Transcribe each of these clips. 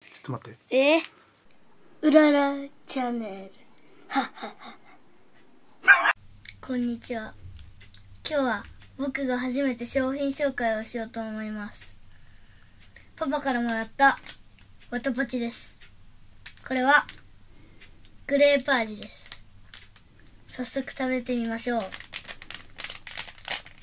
ちょっと待って。えうららチャンネル。ははは。こんにちは。今日は僕が初めて商品紹介をしようと思います。パパからもらったわたぽチです。これはグレープ味です。早速食べてみましょう。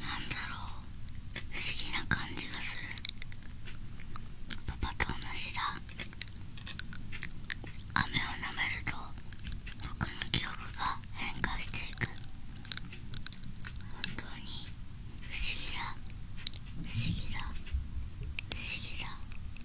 なんだろう不思議な感じがするパパと同じだ雨を舐めると僕の記憶が変化していく本当に不思議だ不思議だ不思議だ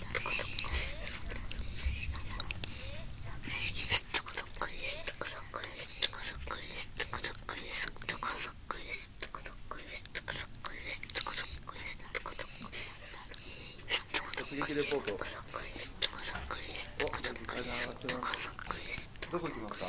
どこ行きますか？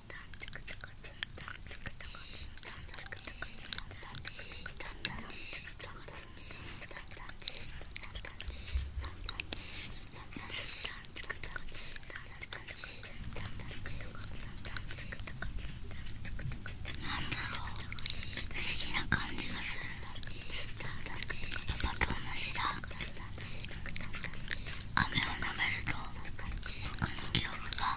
な感じがするやっぱ雨を舐めると僕の記憶が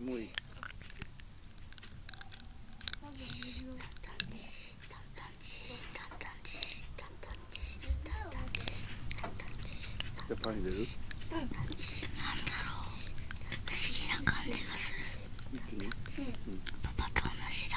もういい。じゃパン入れる？うん。なんだろう。不思議な感じがする。うん。パパと同じだ。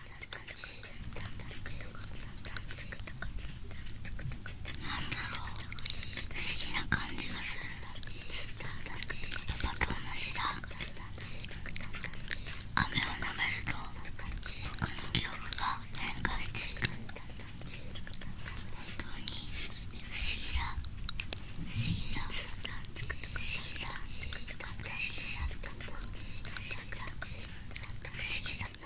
だろう。議な感じがするパパと同じだ雨を舐めると僕の記憶が変化していく本当に不思議だ不思議だ不思議だ不思議だ不思議だ不思議だ不思議だ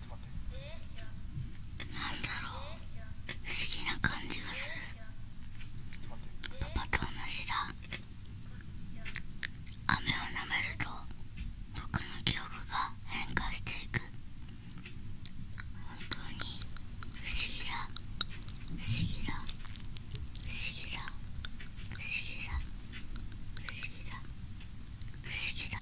なんだろう不思議な感じがするパパと同じだ雨を舐めると僕の記憶が変化していく本当に不思議だ不思議だ不思議だ不思議だ不思議だ不思議だ